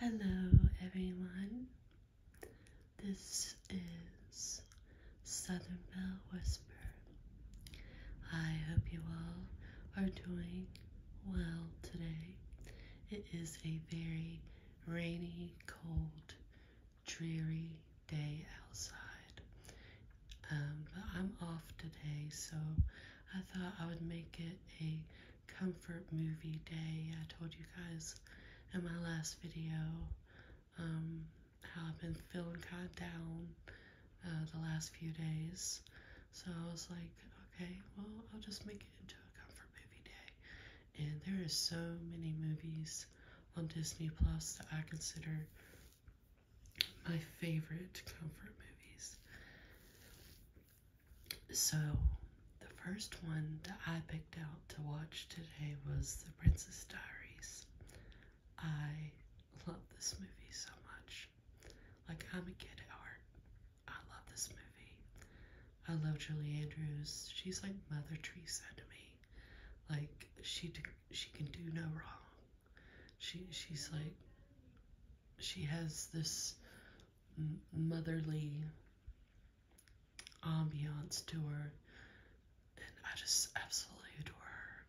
Hello, everyone. This is Southern Bell Whisper. I hope you all are doing well today. It is a very rainy, cold, dreary day outside. Um, but I'm off today, so I thought I would make it a comfort movie day. I told you guys in my last video um, how I've been feeling kind of down uh, the last few days. So I was like, okay, well, I'll just make it into a comfort movie day. And there are so many movies on Disney Plus that I consider my favorite comfort movies. So, the first one that I picked out to watch today was The Princess Diaries. I love this movie so much. Like, I'm a kid at heart. I love this movie. I love Julie Andrews. She's like Mother Teresa to me. Like, she she can do no wrong. She she's like she has this motherly ambiance to her, and I just absolutely adore her.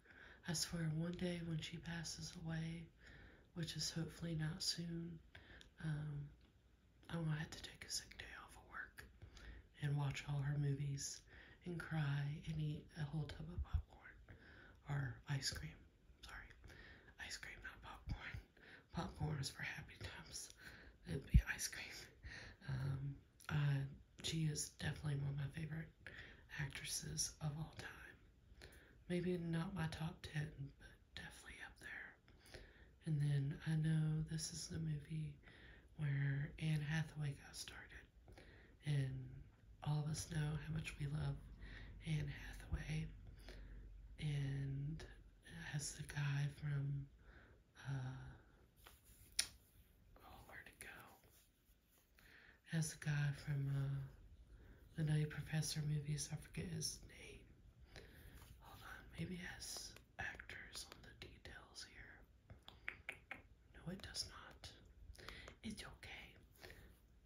I swear, one day when she passes away, which is hopefully not soon, um, I'm gonna have to take a sick day off of work and watch all her movies and cry and eat a whole tub of popcorn or ice cream. Sorry. Ice cream, not popcorn. Popcorn is for happy times. It'd be ice cream. Um, uh, she is definitely one of my favorite actresses of all time. Maybe not my top ten, but definitely up there. And then I know this is the movie where Anne Hathaway got started, and all of us know how much we love Anne Hathaway and it has the guy from uh oh where'd it go? It has the guy from uh the Nutty Professor movies, I forget his name. Hold on, maybe it has actors on the details here. No, it does not. It's okay.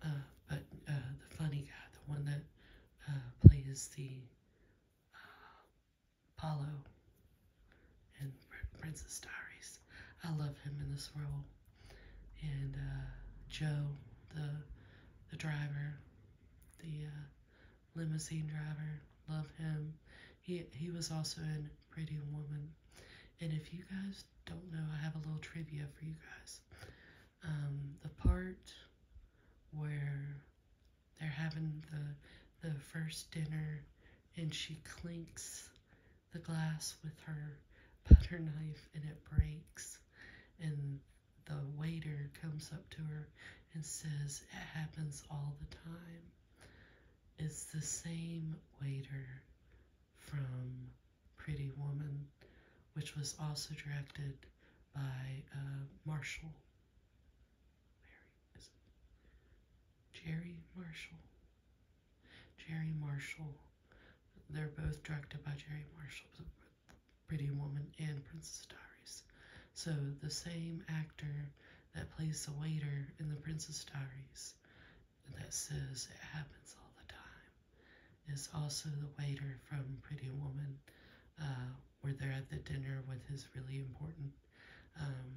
Uh, but uh, the funny guy, the one that uh, plays the uh, and Princess Diaries, I love him in this role. And Joe, the the driver, the limousine driver, love him. He he was also in Pretty Woman. And if you guys don't know, I have a little trivia for you guys. Um, the part where they're having the the first dinner and she clinks the glass with her butter knife and it breaks and the waiter comes up to her and says it happens all the time. It's the same waiter from Pretty Woman, which was also directed by uh, Marshall. Jerry Marshall. Jerry Marshall. They're both directed by Jerry Marshall, Pretty Woman and Princess Diaries. So the same actor that plays the waiter in the Princess Diaries that says it happens all the time is also the waiter from Pretty Woman. Uh, where they are at the dinner with his really important um,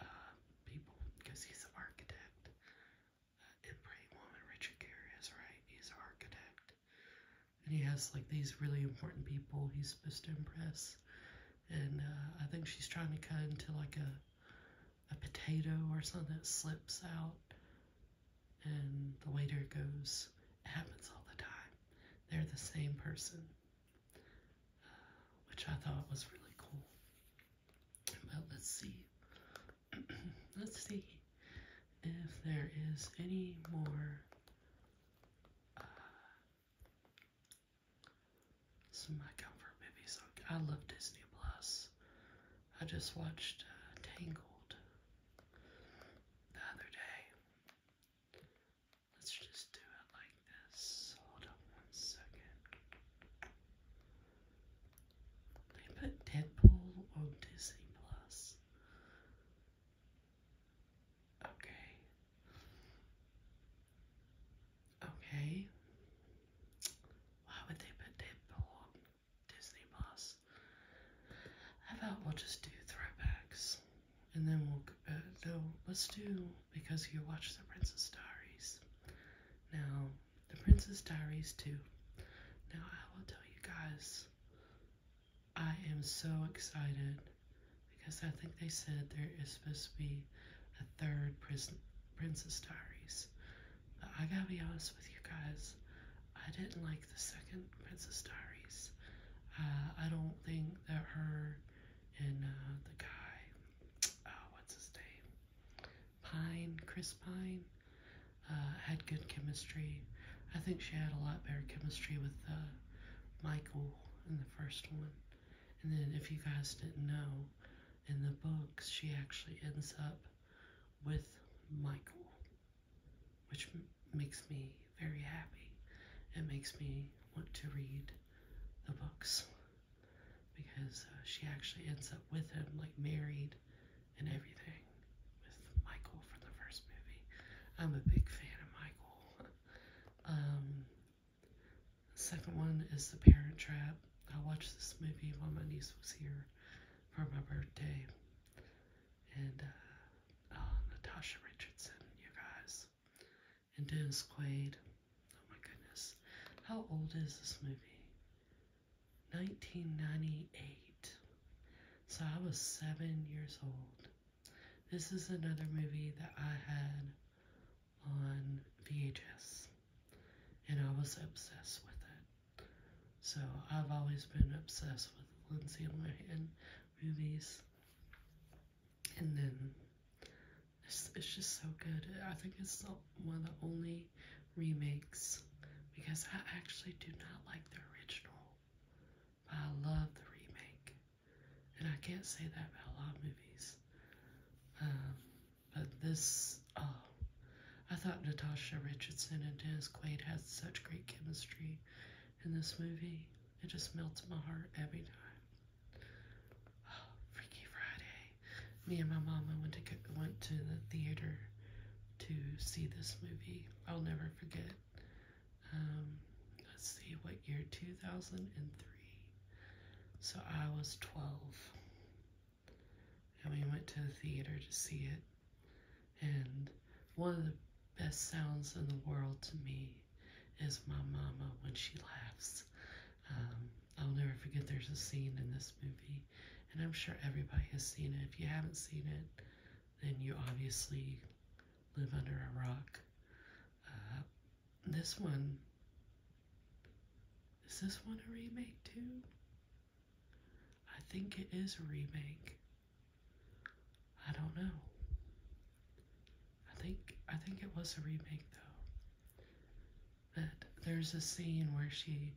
uh, people because he's an architect. Uh, in Pretty Woman, Richard Gere is right. He's an architect. And he has like these really important people he's supposed to impress. And uh, I think she's trying to cut into like a a potato or something that slips out and the waiter goes, it happens all the time. They're the same person, which I thought was really cool. But let's see. let's see if there is any more uh, some of my comfort movies. I love Disney Plus. I just watched uh, Tangled the other day. Let's just do it like this. Hold on one second. They put Deadpool on Disney Plus. Okay. Okay. Why would they put Deadpool Disney Plus. I about we'll just do throwbacks, and then we'll uh, no, let's do because you watched The Princess Diaries. Now, The Princess Diaries too. Now I will tell you guys, I am so excited because I think they said there is supposed to be a third Pris Princess Diaries. I gotta be honest with you guys, I didn't like the second Princess Diaries. Uh, I don't think that her and uh, the guy, oh, what's his name? Pine, Chris Pine, uh, had good chemistry. I think she had a lot better chemistry with uh, Michael in the first one. And then, if you guys didn't know, in the books, she actually ends up with Michael, which makes me very happy. It makes me want to read the books because uh, she actually ends up with him, like married and everything, with Michael from the first movie. I'm a big fan of Michael. Um, second one is The Parent Trap. I watched this movie while my niece was here for my birthday. And uh, uh, Natasha Richardson, you guys. And Dennis Quaid. Oh my goodness. How old is this movie? 1998. So I was seven years old. This is another movie that I had on VHS. And I was obsessed with it. So I've always been obsessed with Lindsay Lohan movies. And then it's, just so good. I think it's one of the only remakes because I actually do not like the original, but I love the remake. And I can't say that about a lot of movies. Um, but this, oh, I thought Natasha Richardson and Dennis Quaid had such great chemistry in this movie. It just melts my heart every time. Oh, Freaky Friday. Me and my mama went to went to the theater to see this movie. I'll never forget. Um, let's see, what year? 2003. So I was 12 and we went to the theater to see it. And one of the best sounds in the world to me is my mama when she laughs. Um, I'll never forget there's a scene in this movie, and I'm sure everybody has seen it. If you haven't seen it, then you obviously live under a rock. Uh, this one is this one a remake too? I think it is a remake. I don't know. I think I think it was a remake though. But there's a scene where she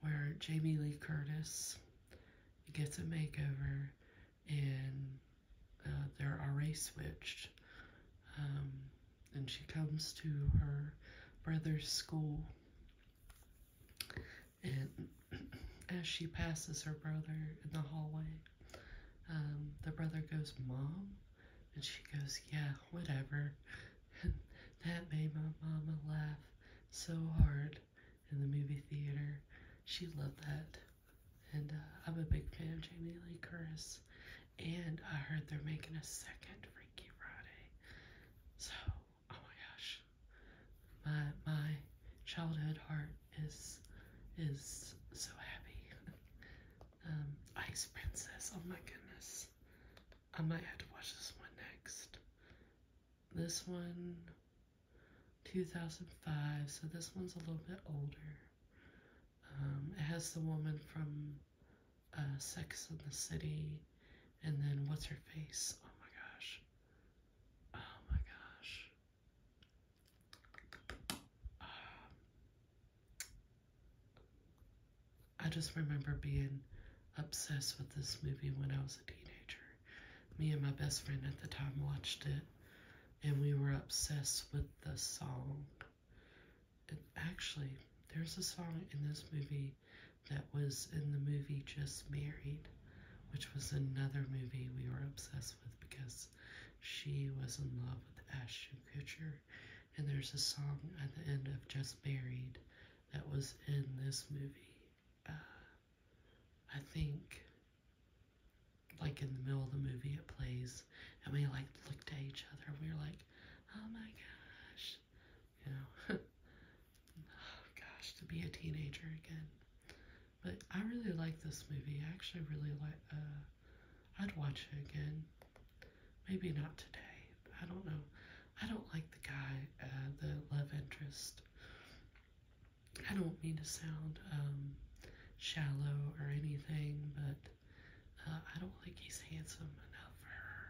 where Jamie Lee Curtis gets a makeover and uh, they're already switched. Um, and she comes to her brother's school. And as she passes her brother in the hallway, um, the brother goes, Mom? And she goes, Yeah, whatever. And that made my mama laugh so hard in the movie theater. She loved that. And uh, I'm a big fan of Jamie Lee Curtis and I heard they're making a second Freaky Friday. So, oh my gosh, my my childhood heart is is so happy. um, Ice Princess. Oh my goodness, I might have to watch this one next. This one, 2005. So this one's a little bit older. Um, it has the woman from uh, sex in the City, and then what's her face? Oh my gosh. Oh my gosh. Um, I just remember being obsessed with this movie when I was a teenager. Me and my best friend at the time watched it, and we were obsessed with the song actually, there's a song in this movie that was in the movie Just Married, which was another movie we were obsessed with because she was in love with Ashton Kutcher. And there's a song at the end of Just Married that was in this movie. Uh, I think, like in the middle of the movie, it plays, and we like looked at each other. And we were like, oh my gosh, you know, oh gosh, to be a teenager again. But I really like this movie. I actually really like. Uh, I'd watch it again. Maybe not today. I don't know. I don't like the guy, uh, the love interest. I don't mean to sound um, shallow or anything, but uh, I don't think he's handsome enough for her.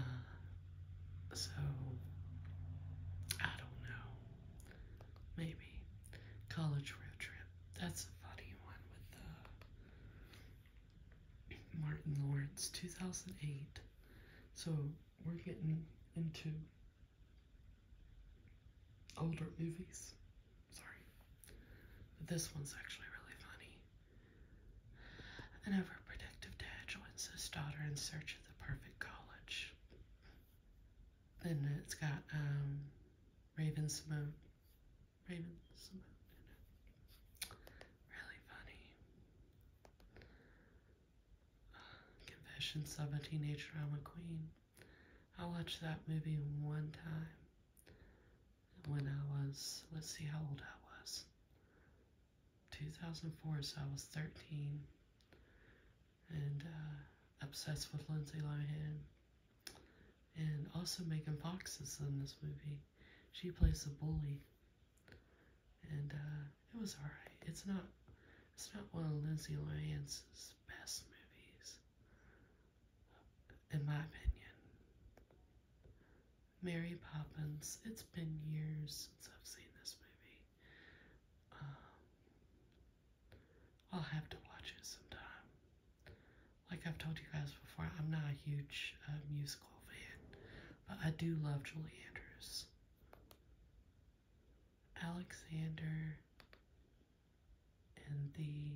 Uh, so, I don't know. Maybe. College road trip. That's a funny one with uh, Martin Lawrence, 2008. So, we're getting into older movies. Sorry. this one's actually really funny. And overprotective dad joins his daughter in search of the perfect college. And it's got um, Raven Simone. Raven Simone in Really funny. Uh, Confessions of a Teenage Drama Queen. I watched that movie one time when I was, let's see how old I was. 2004, so I was 13 and uh, obsessed with Lindsay Lohan and also making Fox in this movie. She plays a bully and uh, it was alright. It's not it's not one of Lindsay Lohan's best movies, in my opinion. Mary Poppins, it's been years since I've seen this movie. Um, I'll have to watch it sometime. Like I've told you guys before, I'm not a huge uh, musical fan, but I do love Julie Andrews. Alexander and the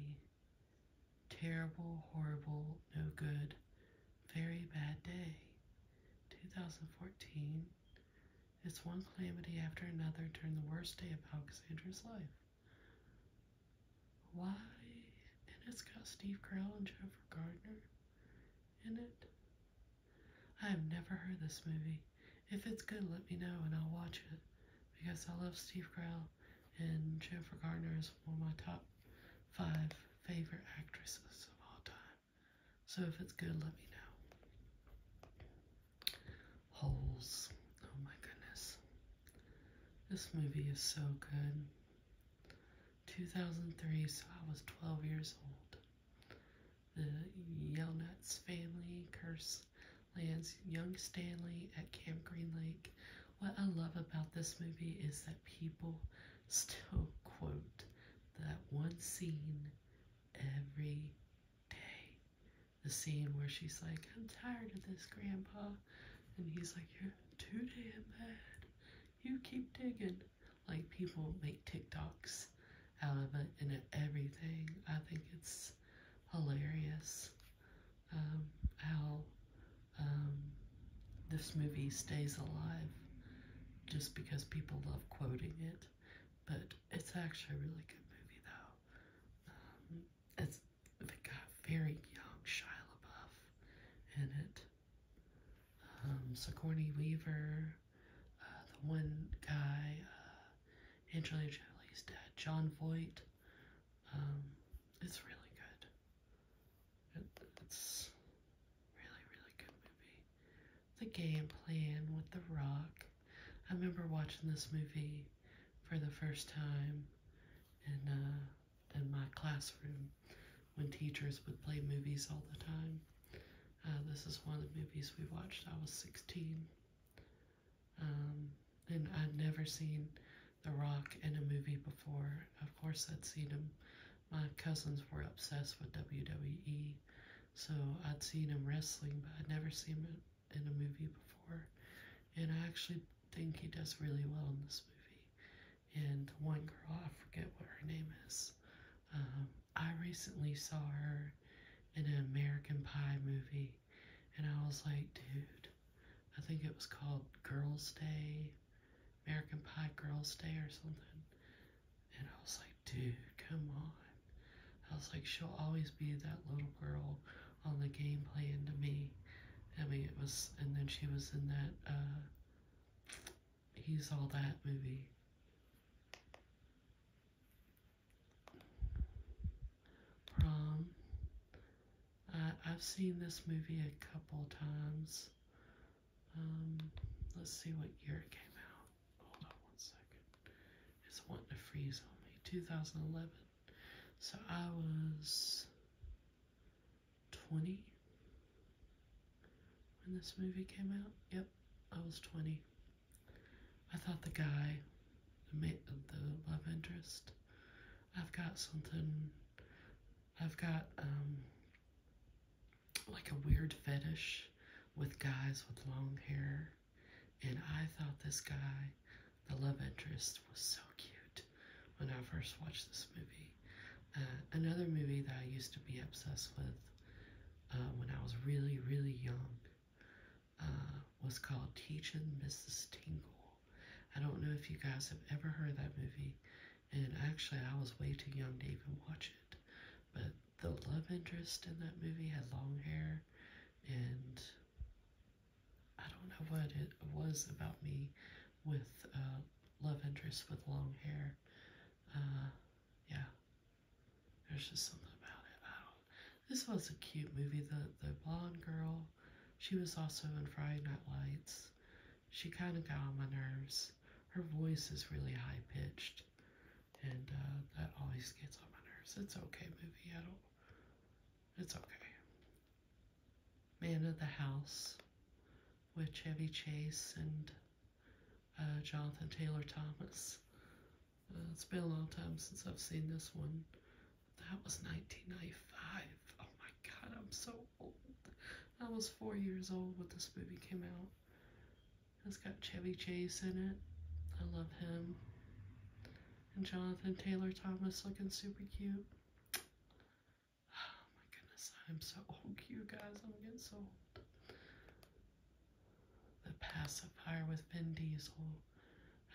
Terrible, horrible, no good, very bad day. 2014. It's one calamity after another during the worst day of Alexander's life. Why? And it's got Steve Carell and Jennifer Gardner in it. I have never heard this movie. If it's good, let me know and I'll watch it because I love Steve Carell and Jennifer Garner is one of my top five favorite actresses of all time. So if it's good, let me know. Holes. Oh my goodness. This movie is so good. 2003, so I was 12 years old. The Yelnats family curse lands young Stanley at Camp Green Lake what I love about this movie is that people still quote that one scene every day. The scene where she's like, I'm tired of this, Grandpa. And he's like, You're too damn bad. You keep digging. Like, people make TikToks out of it and everything. I think it's hilarious. Um, how um, this movie stays alive just because people love quoting it. But it's actually a really good movie, though. Um, it's it got very young Shia LaBeouf in it. So Sigourney Weaver, uh, the one guy, uh, Angelina Jolie's dad, John Voight. It's really good. it's really, really good movie. The game plan with The Rock. I remember watching this movie for the first time in uh, in my classroom when teachers would play movies all the time. Uh, this is one of the movies we watched. I was 16. Um, and I'd never seen The Rock in a movie before. Of course, I'd seen him. My cousins were obsessed with WWE, so I'd seen him wrestling, but I'd never seen him in a movie before. And I actually think he does really well in this movie. And one girl, I forget what her name is, um, I recently saw her in an American Pie movie and I was like, dude, I think it was called Girls' Day, American Pie Girls' Day or something. And I was like, dude, come on. I was like, she'll always be that little girl on the game playing to me. I mean, it was, and then she was in that, uh, He's All That movie. Prom. I've seen this movie a couple times. Um, let's see what year it came out. Hold on one second. It's wanting to freeze on me. 2011. So I was 20 when this movie came out. Yep, I was 20. I thought the guy, the, the love interest, I've got something, I've got um, like a weird fetish with guys with long hair. And I thought this guy, the love interest, was so cute when I first watched this movie. Uh, another movie that I used to be obsessed with uh, when I was really, really young uh, was called Teaching Mrs. Tingle. I don't know if you guys have ever heard that movie, and actually I was way too young to even watch it, but the love interest in that movie had long hair, and I don't know what it was about me with uh, love interest with long hair. Uh, yeah, there's just something about it. I don't, this was a cute movie. The, the blonde girl, she was also in Friday Night Lights. She kind of got on my nerves. Her voice is really high pitched, and uh, that always gets on my nerves. It's okay, movie. I don't. It's okay. Man of the House with Chevy Chase and uh, Jonathan Taylor Thomas. Uh, it's been a long time since I've seen this one. That was 1995. Oh my god, I'm so old. I was four years old when this movie came out. It's got Chevy Chase in it. I love him. And Jonathan Taylor Thomas looking super cute. Oh my goodness, I'm so old, you guys. I'm getting so old. The Pacifier with Vin Diesel.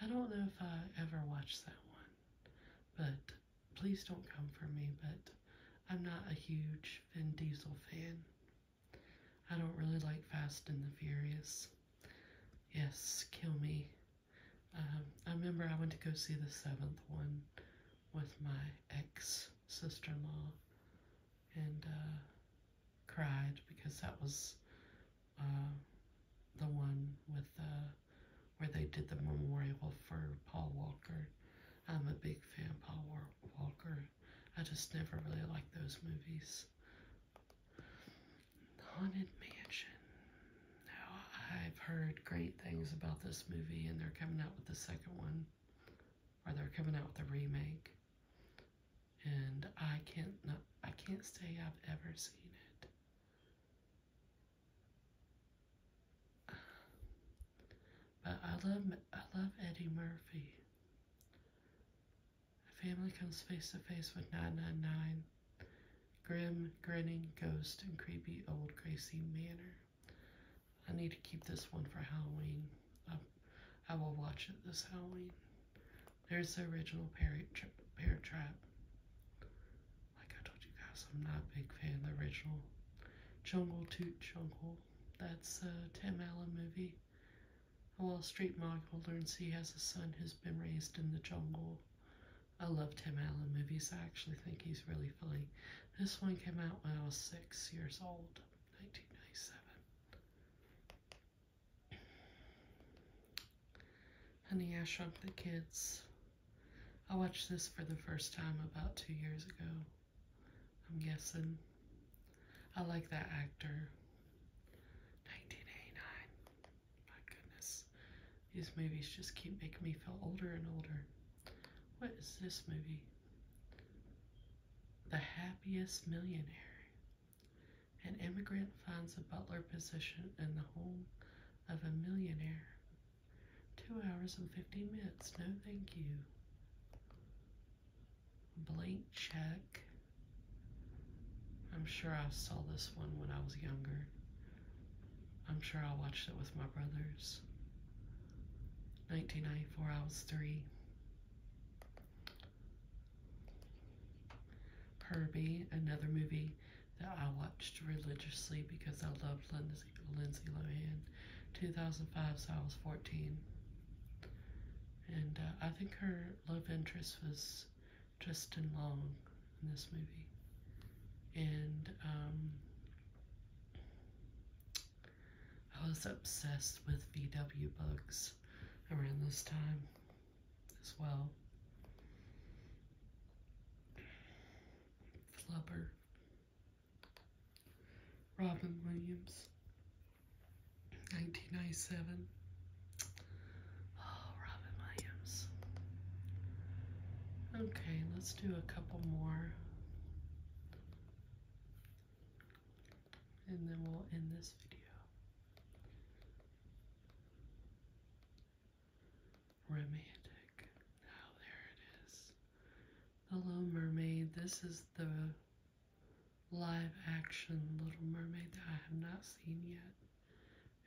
I don't know if I ever watched that one, but please don't come for me. But I'm not a huge Vin Diesel fan. I don't really like Fast and the Furious. Yes, kill me. Um, I remember I went to go see the seventh one with my ex sister in law and uh, cried because that was uh, the one with uh, where they did the memorial for Paul Walker. I'm a big fan of Paul Walker. I just never really liked those movies. Haunted Mansion. Now, I've heard great things about this movie, and they're coming out with the second one, or they're coming out with a remake and I can't not, I can't say I've ever seen it. But I love I love Eddie Murphy. A family comes face to face with 999, grim, grinning ghost, and creepy old Gracie Manor. I need to keep this one for Halloween. I, I will watch it this Halloween. There's the original Parrot, Trap. Like I told you guys, I'm not a big fan of the original Jungle Toot Jungle. That's a Tim Allen movie. A Street mogul learns he has a son who's been raised in the jungle. I love Tim Allen movies. I actually think he's really funny. This one came out when I was six years old, 1997. Honey, I Shrunk the Kids. I watched this for the first time about two years ago, I'm guessing. I like that actor. 1989. My goodness. These movies just keep making me feel older and older. What is this movie? The Happiest Millionaire. An immigrant finds a butler position in the home of a millionaire. Two hours and 50 minutes, no thank you. Blank check. I'm sure I saw this one when I was younger. I'm sure I watched it with my brothers. 1994, I was three. Herbie, another movie that I watched religiously because I loved Lindsay, Lohan. 2005, so I was 14. And uh, I think her love interest was Justin Long in this movie. And um, I was obsessed with VW bugs around this time as well. Flubber. Robin Williams. 1997. Oh, Robin Williams. Okay, let's do a couple more. And then we'll end this video. Romantic. Now oh, there it is. The Little Mermaid. This is the live action Little Mermaid that I have not seen yet.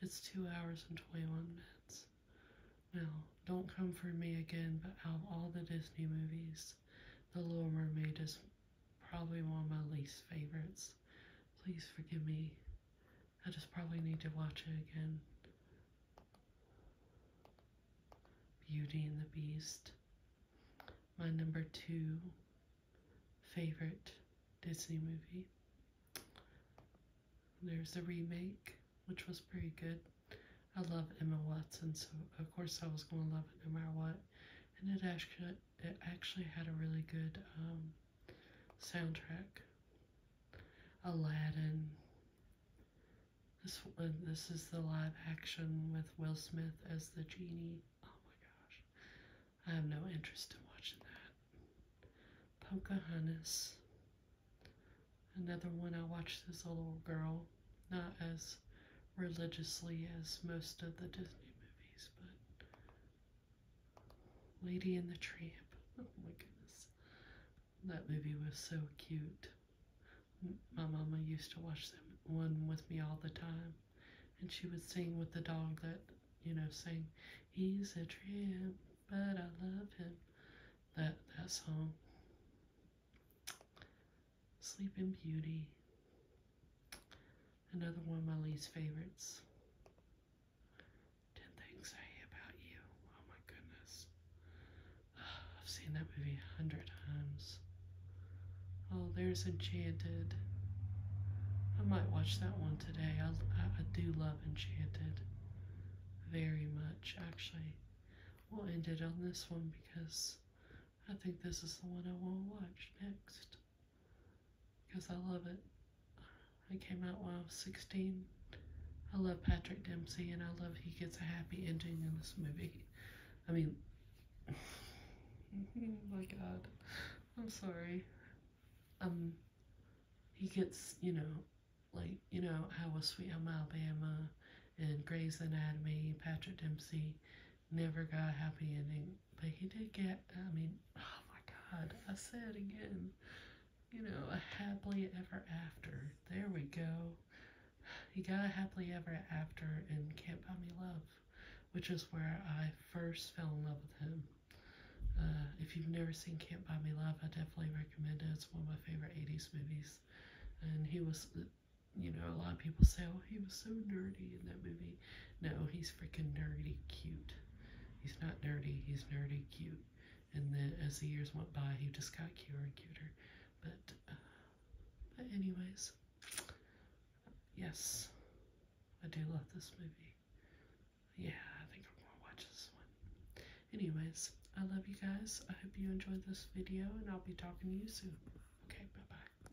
It's two hours and 21 minutes. Now, don't come for me again, but out of all the Disney movies, The Little Mermaid is probably one of my least favorites. Please forgive me. I just probably need to watch it again. Beauty and the Beast. My number two favorite Disney movie. There's the remake, which was pretty good. I love Emma Watson, so of course I was going to love it no matter what. And it actually it actually had a really good um, soundtrack. Aladdin. This one, uh, this is the live action with Will Smith as the genie. Oh my gosh, I have no interest in watching that. Pocahontas. Another one I watched as a little girl, not as religiously as most of the Disney movies, but Lady in the Tramp. Oh my goodness. That movie was so cute. My mama used to watch that one with me all the time. And she would sing with the dog that, you know, sang, He's a tramp, but I love him. That, that song. Sleeping Beauty. Another one of my least favorites. 10 Things I Hate About You. Oh my goodness. I've seen that movie a hundred times. Oh, there's Enchanted. I might watch that one today. I, I, do love Enchanted very much, actually. We'll end it on this one because I think this is the one I will to watch next because I love it. I came out when I was 16. I love Patrick Dempsey and I love he gets a happy ending in this movie. I mean, oh my God, I'm sorry. Um, he gets, you know, like, you know, how was Sweet Home Alabama and Grey's Anatomy, Patrick Dempsey, never got a happy ending. But he did get, I mean, oh my god, I said again, you know, a happily ever after. There we go. He got a happily ever after in Camp Bobby Love, which is where I first fell in love with him. Uh, if you've never seen Camp Bobby Love, I definitely recommend it. It's one of my favorite 80s movies. And he was, you know, a lot of people say, oh, he was so nerdy in that movie no, he's freaking nerdy cute. He's not nerdy, he's nerdy cute. And then as the years went by, he just got cuter and cuter. But, uh, but anyways, yes, I do love this movie. Yeah, I think I'm gonna watch this one. Anyways, I love you guys. I hope you enjoyed this video, and I'll be talking to you soon. Okay, bye-bye.